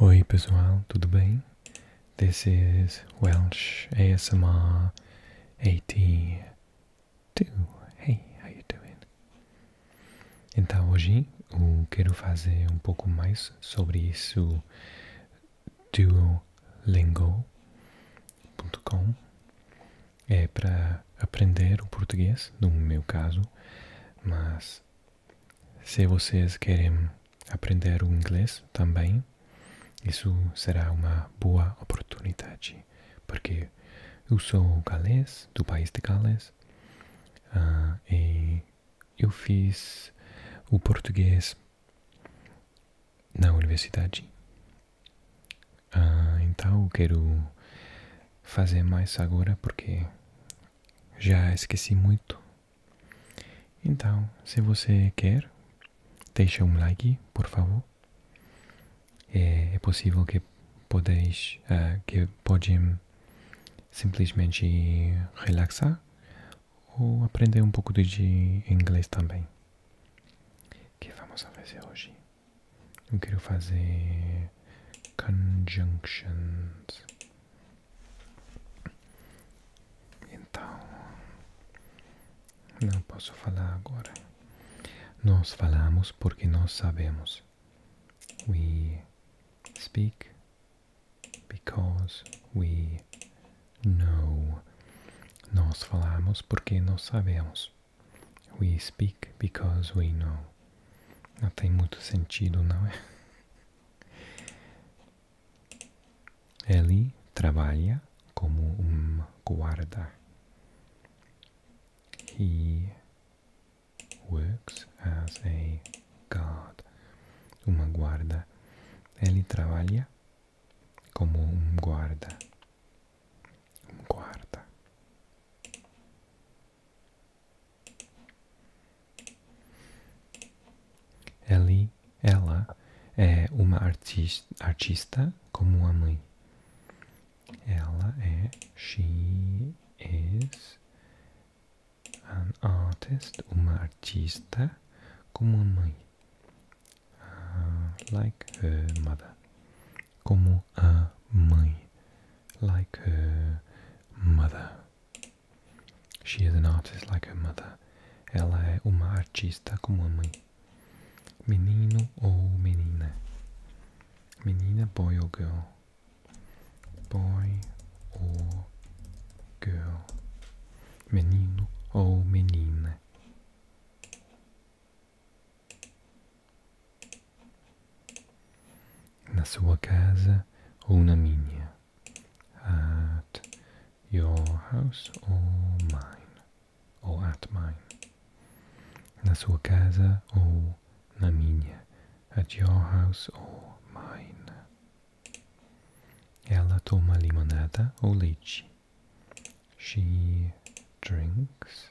Oi pessoal, tudo bem? This is Welsh ASMR 82. Hey, how you doing? Então hoje eu quero fazer um pouco mais sobre isso duolingo.com é para aprender o português, no meu caso, mas se vocês querem aprender inglês também, isso será uma boa oportunidade, porque eu sou galês, do país de Gales, ah, e eu fiz o português na universidade. Ah, então eu quero fazer mais agora porque já esqueci muito. Então, se você quer, deixa um like, por favor. É, é possível que podeis, uh, que podem simplesmente relaxar ou aprender um pouco de inglês também. O que vamos fazer hoje? Eu quero fazer conjunctions. Então, não posso falar agora. Nós falamos porque nós sabemos. We speak because we know. Nós falamos porque nós sabemos. We speak because we know. Não tem muito sentido, não é? Ele trabalha como um guarda. He works as a guard. Uma guarda. Ele trabalha como um guarda. Um guarda. Eli, ela é uma artista, como a mãe. Ela é she is an artist, uma artista como a mãe. Uh, like her mother como a mãe. Like her mother. She is an artist like her mother. Ela é uma artista como a mãe. Menino ou menina? Menina, boy ou girl? Boy ou girl? Menino ou menina? na sua casa ou na minha. At your house or mine. Or at mine. Na sua casa ou na minha. At your house or mine. Ela toma limonada ou leite. She drinks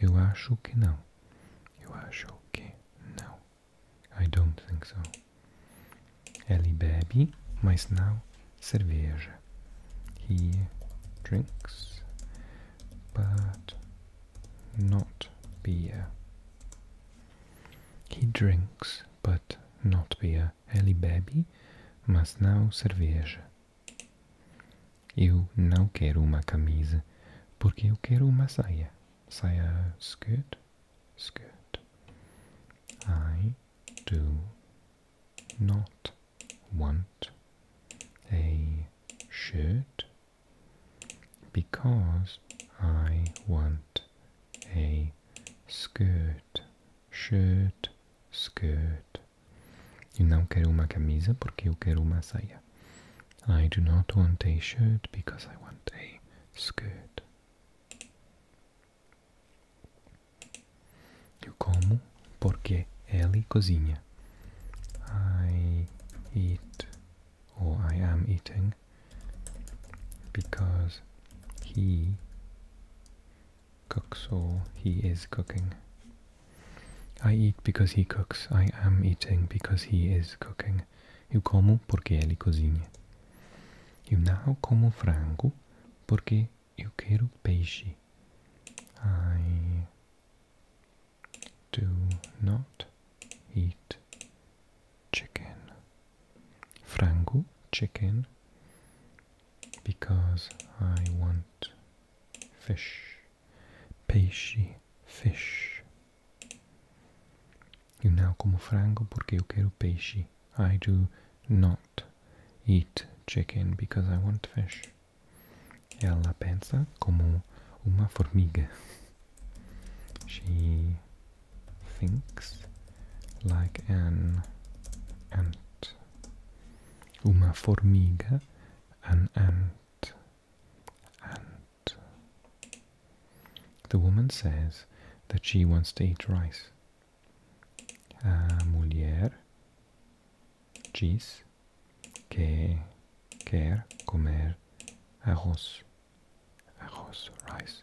Eu acho que não. Eu acho que não. I don't think so. Ele bebe, mas não cerveja. He drinks, but not beer. He drinks, but not beer. Ele bebe, mas não cerveja. Eu não quero uma camisa porque eu quero uma saia. Saia skirt, skirt. I do not want a shirt because I want a skirt, shirt, skirt. Eu não quero uma camisa porque eu quero uma saia. I do not want a shirt because I want a skirt. Eu como porque ele cozinha. I eat or I am eating because he cooks or he is cooking. I eat because he cooks. I am eating because he is cooking. Eu como porque eli cozinha. Eu now como frango porque eu quero peixe. I do not eat chicken. Frango, chicken, because I want fish, peixe, fish. Eu não como frango porque eu quero I do not eat chicken because I want fish. Ela pensa como uma formiga. She thinks like an ant una formiga, an ant, ant. The woman says that she wants to eat rice. A mulher diz que quer comer arroz. Arroz, rice.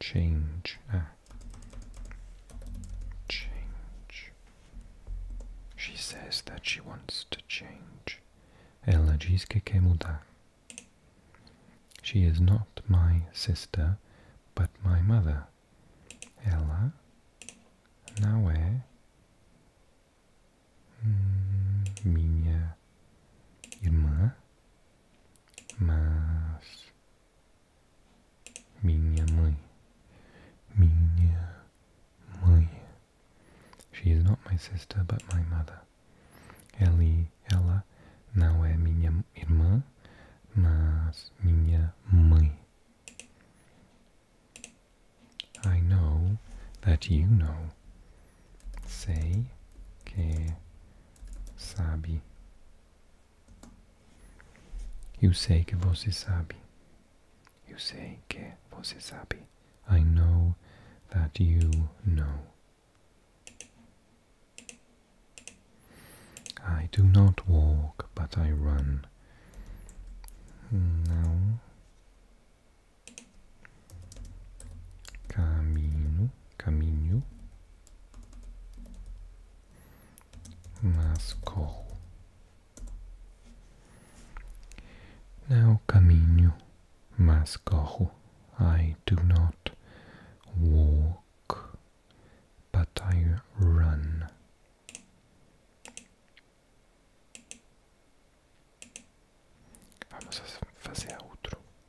change ah. change she says that she wants to change Ella cheesecake muda she is not my sister but my mother Ella nawe hmm, minha irmã mas minha mãe, minha mãe. She is not my sister, but my mother. Ele, ela não é minha irmã, mas minha mãe. I know that you know sei que que você sabe. I know that you know. I do not walk, but I run. Now, Caminho, caminho. masco não é caminho, masco I do not walk, but I run. Vamos fazer outro.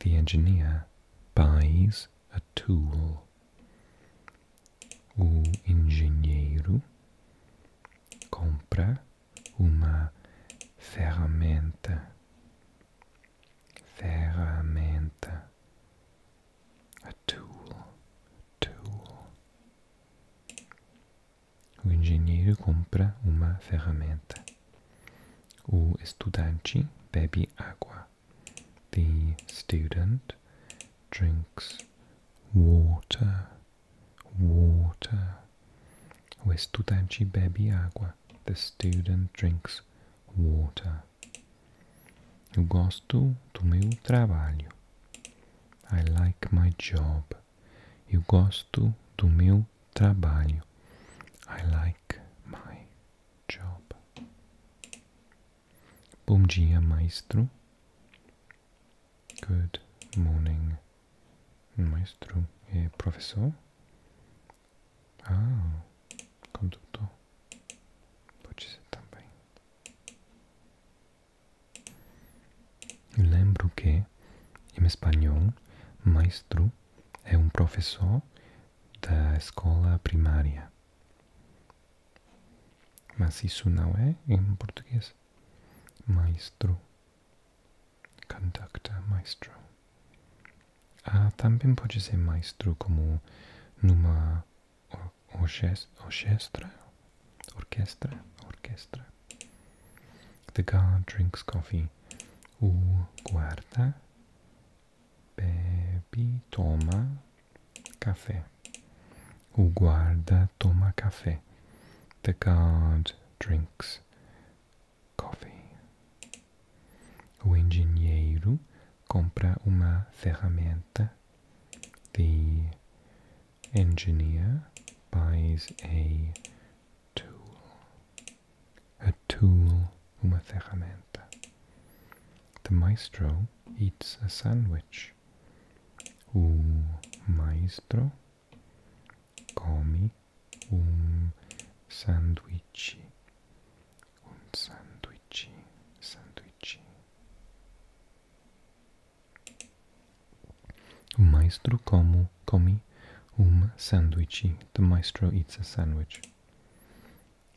the engineer buys a tool. O engenheiro compra uma ferramenta. Ferramenta. A tool. Tool. O engenheiro compra uma ferramenta. O estudante bebe água. The student drinks water. Water. O estudante bebe água. The student drinks water. Eu gosto do meu trabalho. I like my job. Eu gosto do meu trabalho. I like my job. Bom dia, maestro. Good morning, maestro. É professor? Ah, condutor. Pode ser também. Lembro que, em espanhol, maestro é um professor da escola primária. Mas isso não é em português. Maestro. Conductor, maestro. Ah, também pode ser maestro como numa orquestra. Orquestra. Orquestra. The guard drinks coffee o guarda bebe, toma café. O guarda toma café. The guard drinks coffee. O engenheiro compra uma ferramenta. The engineer buys a tool a tool, uma ferramenta. The maestro eats a sandwich. O maestro come um sanduíche. Um sanduíche, sanduíche. O maestro come comi un um sanduici. The maestro eats a sandwich.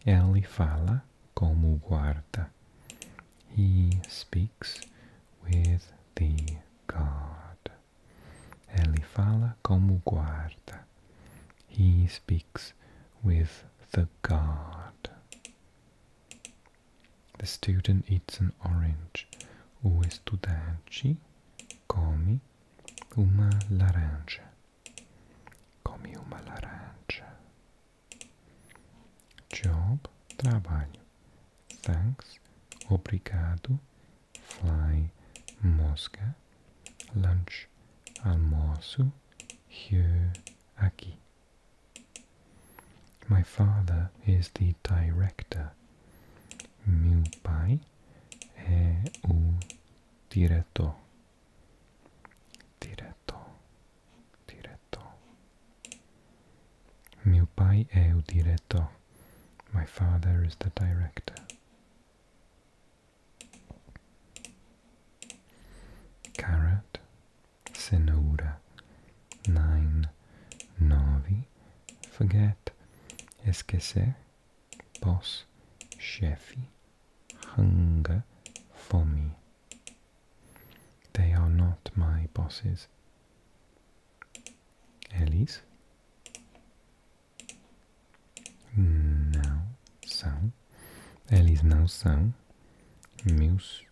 Ele fala como guarda. He speaks with the guard. Ele fala como guarda. He speaks with the guard. The student eats an orange. O estudante comi. uma laranja. Come uma laranja. Job, trabalho. Thanks, obrigado. Fly, mosca. Lunch, almoço. Here, aqui. My father is the director. Meu pai è un diretto diretto diretto mio pai è un diretto my father is the director carrot senora nine novi forget Es que esquecer, boss, chefe, hunger, fome. They are not my bosses. Eles. Não são. Eles não são meus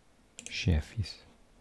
chefes.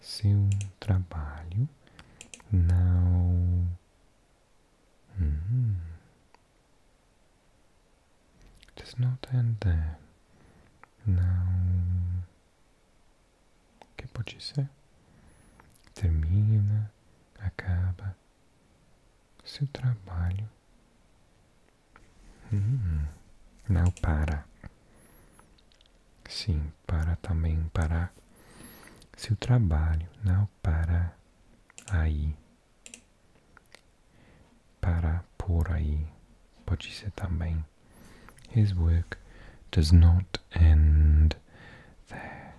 seu trabalho não desnota hum. does uh, Não. que pode ser? Termina, acaba. Seu trabalho hum. não para. Sim, para também para seu trabalho, não para aí, para por aí, pode ser também. His work does not end there.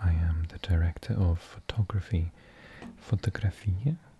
I am the director of photography. Fotografia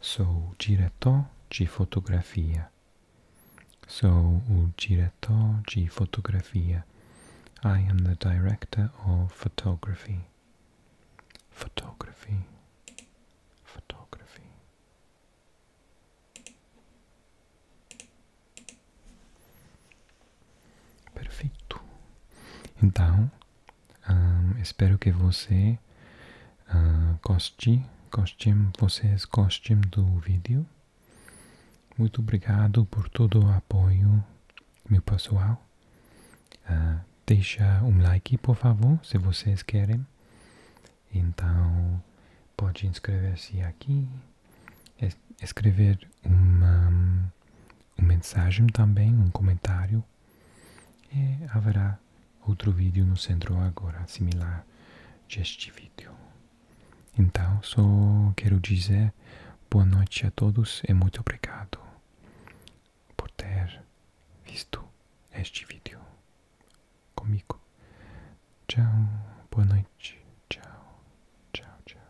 Sou diretor de fotografia. Sou o diretor de fotografia. I am the director of photography. Photography. Photography. Perfeito. Então, espero que você goste, goste, vocês gostem do vídeo. Muito obrigado por todo o apoio, meu pessoal. Uh, deixa um like, por favor, se vocês querem. Então, pode inscrever-se aqui, es escrever uma hum, mensagem também, um comentário e haverá outro vídeo no centro agora, similar a este vídeo. Então, só quero dizer boa noite a todos e muito obrigado por ter visto este vídeo comigo. Tchau, boa noite. Tchau, tchau, tchau.